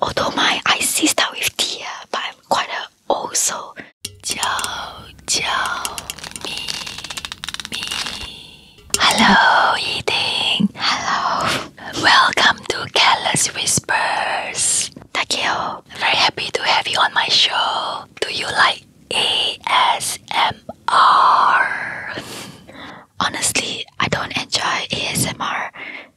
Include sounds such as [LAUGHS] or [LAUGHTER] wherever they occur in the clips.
although my eyes see start with T, but I'm quite also so Jiao Jiao me me. Hello, eating. Hello. Welcome to Careless Whispers. Takeo, very happy to have you on my show. Do you like ASMR? [LAUGHS] Honestly, I don't enjoy ASMR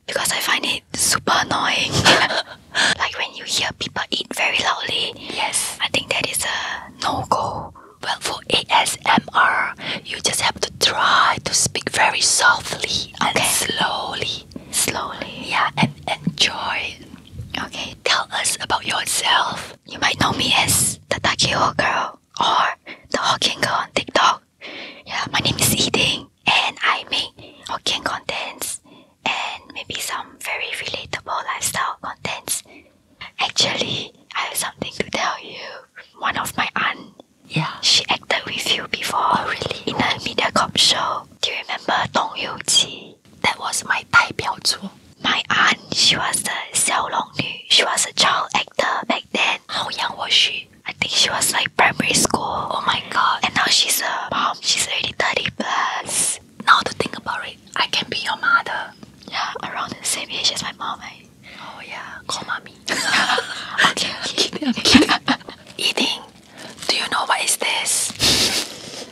because I find it super annoying. [LAUGHS] like when you hear people eat very loudly. Yes. I think that is a no go. Well, for ASMR, you just have to try to speak very softly and slowly. Slowly. Yeah, and enjoy. Okay. Tell us about yourself. You might know me as the Takeo girl or the Hawking girl on TikTok yeah, my name is Eating, and I make Hokkien contents and maybe some very relatable lifestyle contents. Actually, I have something to tell you. One of my aunt, yeah, she acted with you before. really? In a media comp show. Do you remember Dong Yu That was my Tai Biao My aunt, she was the Xiao Long She was a child actor back then. How young was she? I think she was like primary school. Oh my god. And now she's a mom. She's already 30 plus. Now to think about it, I can be your mother. Yeah, around the same age as my mom. Oh yeah, call mommy. [LAUGHS] okay, I'm kidding, Eating. [LAUGHS] Do you know what is this?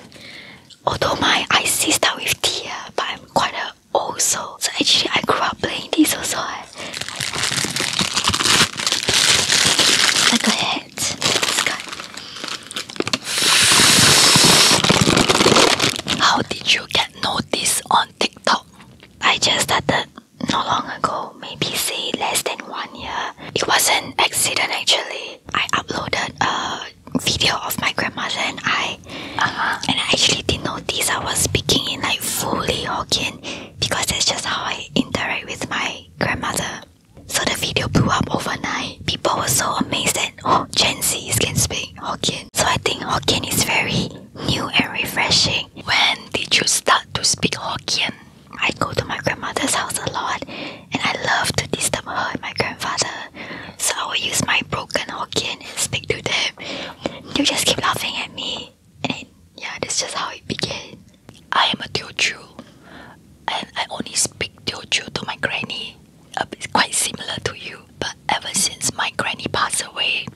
Although my I see start with T, but I'm quite a old soul. So actually I grew up playing this also. Eh? Like a hit. How did you get noticed on TikTok? I just started not long ago, maybe say less than one year. It was an accident actually. I uploaded a video of my grandmother and I uh-huh. and I actually didn't notice I was speaking in like fully Hokkien because that's just how I interact with my grandmother. So the video blew up overnight. People were so amazed that oh, Gen Zs can speak Hokkien. So I think Hokkien is very new and refreshing. When did you start to speak Hokkien? I go to my grandmother's house a lot and I love to disturb her and my grandfather. So I will use my broken Hokkien to speak to them. they just keep laughing at me yeah, that's just how it began. I am a Teochew, and I only speak Teochew to my granny. Uh, it's quite similar to you, but ever since my granny passed away,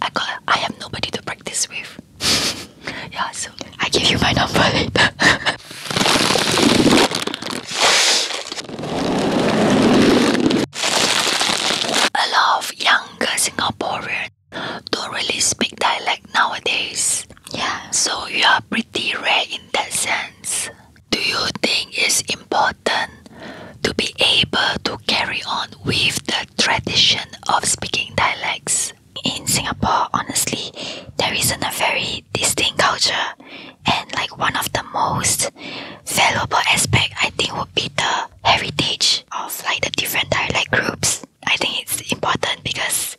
I got I have nobody to practice with. [LAUGHS] yeah, so I give you my number [LAUGHS] a lot of younger Singaporeans don't really speak dialect nowadays. Yeah. So you are pretty rare in that sense. Do you think it's important to be able to carry on with the tradition of speaking dialects? In Singapore, honestly, there isn't a very distinct culture, and like one of the most valuable aspect I think would be the heritage of like the different dialect groups. I think it's important because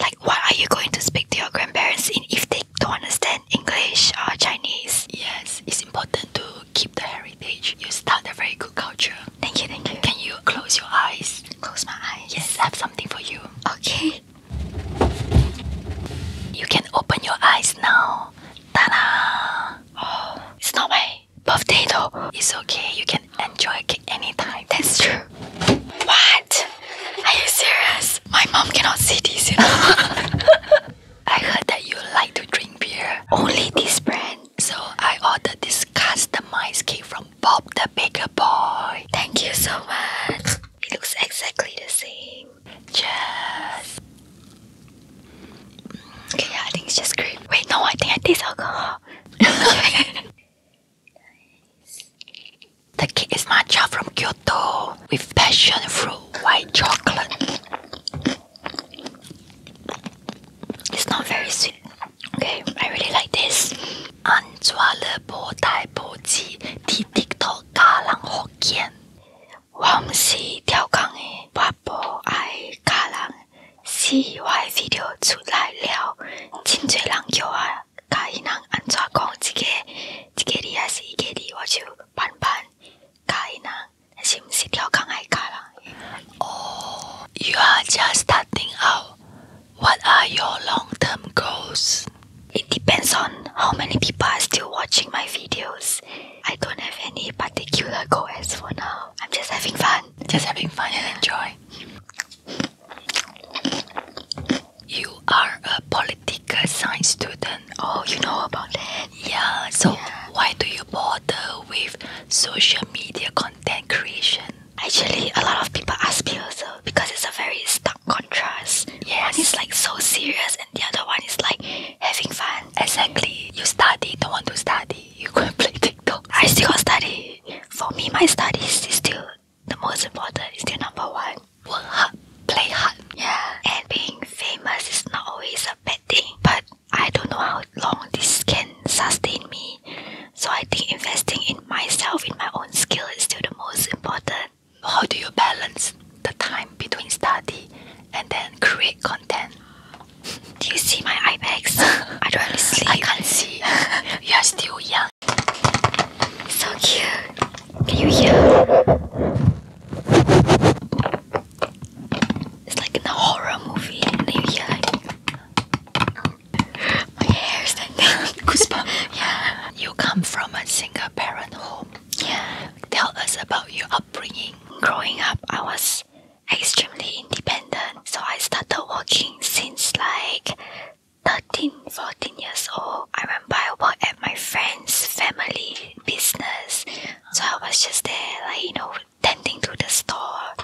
like what are you going to speak to your grandparents in if they don't understand English or Chinese? Yes, it's important to keep the heritage. You start a very good culture. Thank you, thank you. Can you close your eyes? Close my eyes. Yes, I have something for you. Okay. You can open your eyes now. Ta-da! Oh, it's not my birthday though. It's okay, you can can enjoy a anytime. That's true. What? Are you serious? My mom cannot see this, you know. [LAUGHS] I heard that you like to drink beer. Only this brand. So I ordered this customized cake from Bob the Baker Boy. Thank you so much. It looks exactly the same. Just. Okay, yeah, I think it's just great. Wait, no, I think I taste alcohol. [LAUGHS] The cake is matcha from Kyoto with passion fruit white chocolate. It's not very sweet. Okay, I really like this. Anzuale bo tai bo ji ti tiktok ka lang hokkien. Wang si tiao kang e wapo ai ka lang See C Y video you are just starting out. What are your long-term goals? It depends on how many people are still watching my videos. I don't have any particular goals for now. I'm just having fun. Just having fun and enjoy. You are a political science student. Oh, you know about it. Yeah. So why do you bother with social media content creation? Actually, a lot of people ask me also because it's a very stark contrast. Yeah, and it's like so serious, and the other one is like having fun. Exactly. You study, don't want to study. You go and play TikTok. I still study. For me, my studies is still the most important. Is still number one. Work hard, play hard. Yeah. And being famous is not always a bad thing. But I don't know how long this can sustain me. So I think investing in myself, in my own skill, is still the most important. How do you balance the time between study and then create content? Do you see my eye bags? [LAUGHS] I don't really sleep. I can't see. you are still young. So cute. Can you hear? It's like in a horror movie, and you hear like my hair's like goosebumps. [LAUGHS] yeah. You come from a single parent home. Yeah. Tell us about your upbringing. Growing up, I was extremely independent, so I started working since like 13, 14 years old, I remember I worked at my friend's family business. So I was just there, like, you know, tending to the store.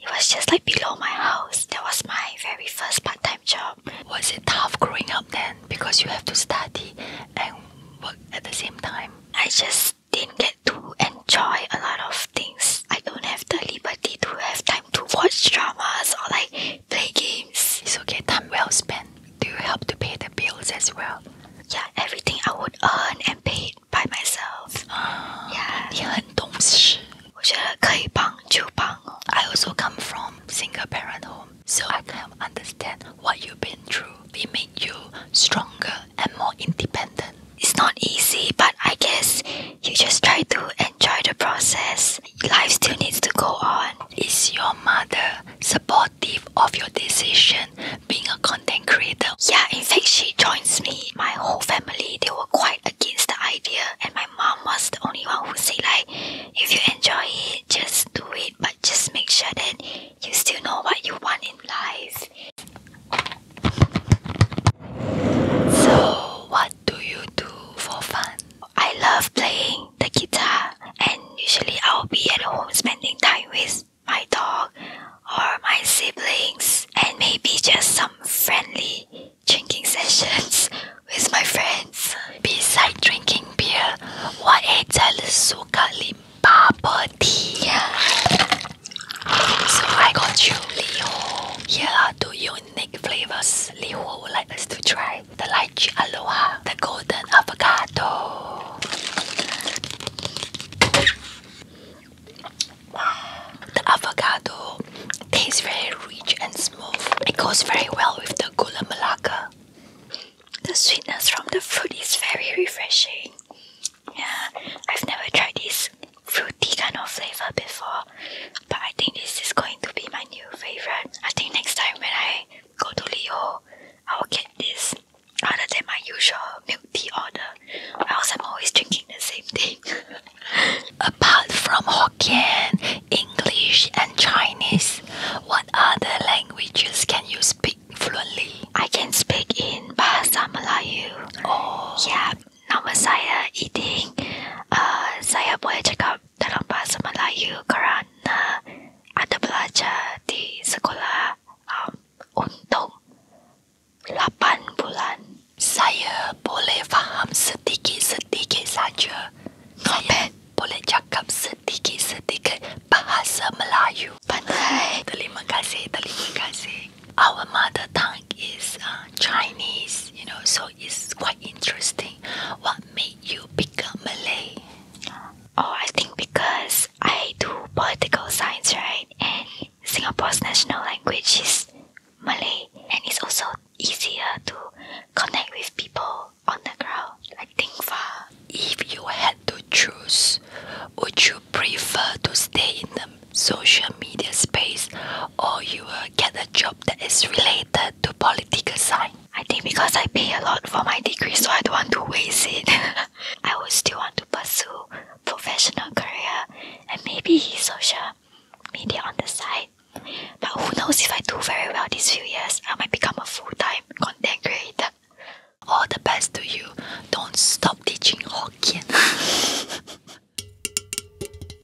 It was just like below my house. That was my very first part time job. Was it tough growing up then because you have to study and work at the same time? I just didn't get to enjoy a lot of things. I don't have the liberty to have time to watch dramas or like play games. It's okay, time well spent. Do you help to pay the bills as well? Yeah, everything I would earn and pay by myself. Uh, yeah. I also come from single parent home, so I can understand what you've been through. It made you stronger and more independent. It's not easy, but I guess you just try to enjoy the process. Life still needs to go on. Is your mother supportive of your decision being a content creator? Yeah, in fact, she joins me. My whole family, they were quite against the idea, and my mom was the only one who said, like, if you enjoy it, just do it, but just make sure that you still know what you want in life. So, what do you do for fun? I love playing the guitar, and usually I'll be at home spending time with my dog or my siblings, and maybe just some friendly drinking sessions [LAUGHS] with my friends. Besides drinking beer, what else suka limpa body? So I got you, Leo. Here are you unique flavors Liho would like us to try. The lychee aloha, the golden avocado. The avocado tastes very rich and smooth. It goes very well with the golden melaka. The sweetness from the fruit is very refreshing. Yeah, I've never tried this fruity kind of flavor before, but I think this is going to be my new favorite. I think next time when I go to Leo, I will get this other than my usual milk tea order, else I'm always drinking the same thing. [LAUGHS] Apart from Hokkien, English, and Chinese, what other languages can you speak fluently? I can speak in Bahasa Melayu. Oh, yeah, nama saya Iding. Uh, saya boleh cakap dalam bahasa Melayu kerana ada belajar di sekolah um, untuk 8 bulan. Saya boleh faham sedikit-sedikit saja. Ngopet boleh cakap sedikit-sedikit bahasa Melayu. Pandai. terima kasih, terima kasih. Our mother tongue is... Um, Chinese, you know, so it's quite interesting. What made you become Malay? Oh, I think because I do political science, right? And Singapore's national language is Malay, and it's also easier to connect with people on the ground. I think far. If you had to choose, would you prefer to stay in the social media space or you will get a job? that is related to political science. I think because I pay a lot for my degree, so I don't want to waste it. [LAUGHS] I would still want to pursue professional career and maybe social media on the side. But who knows if I do very well these few years, I might become a full-time content creator. All the best to you. Don't stop teaching Hokkien. [LAUGHS]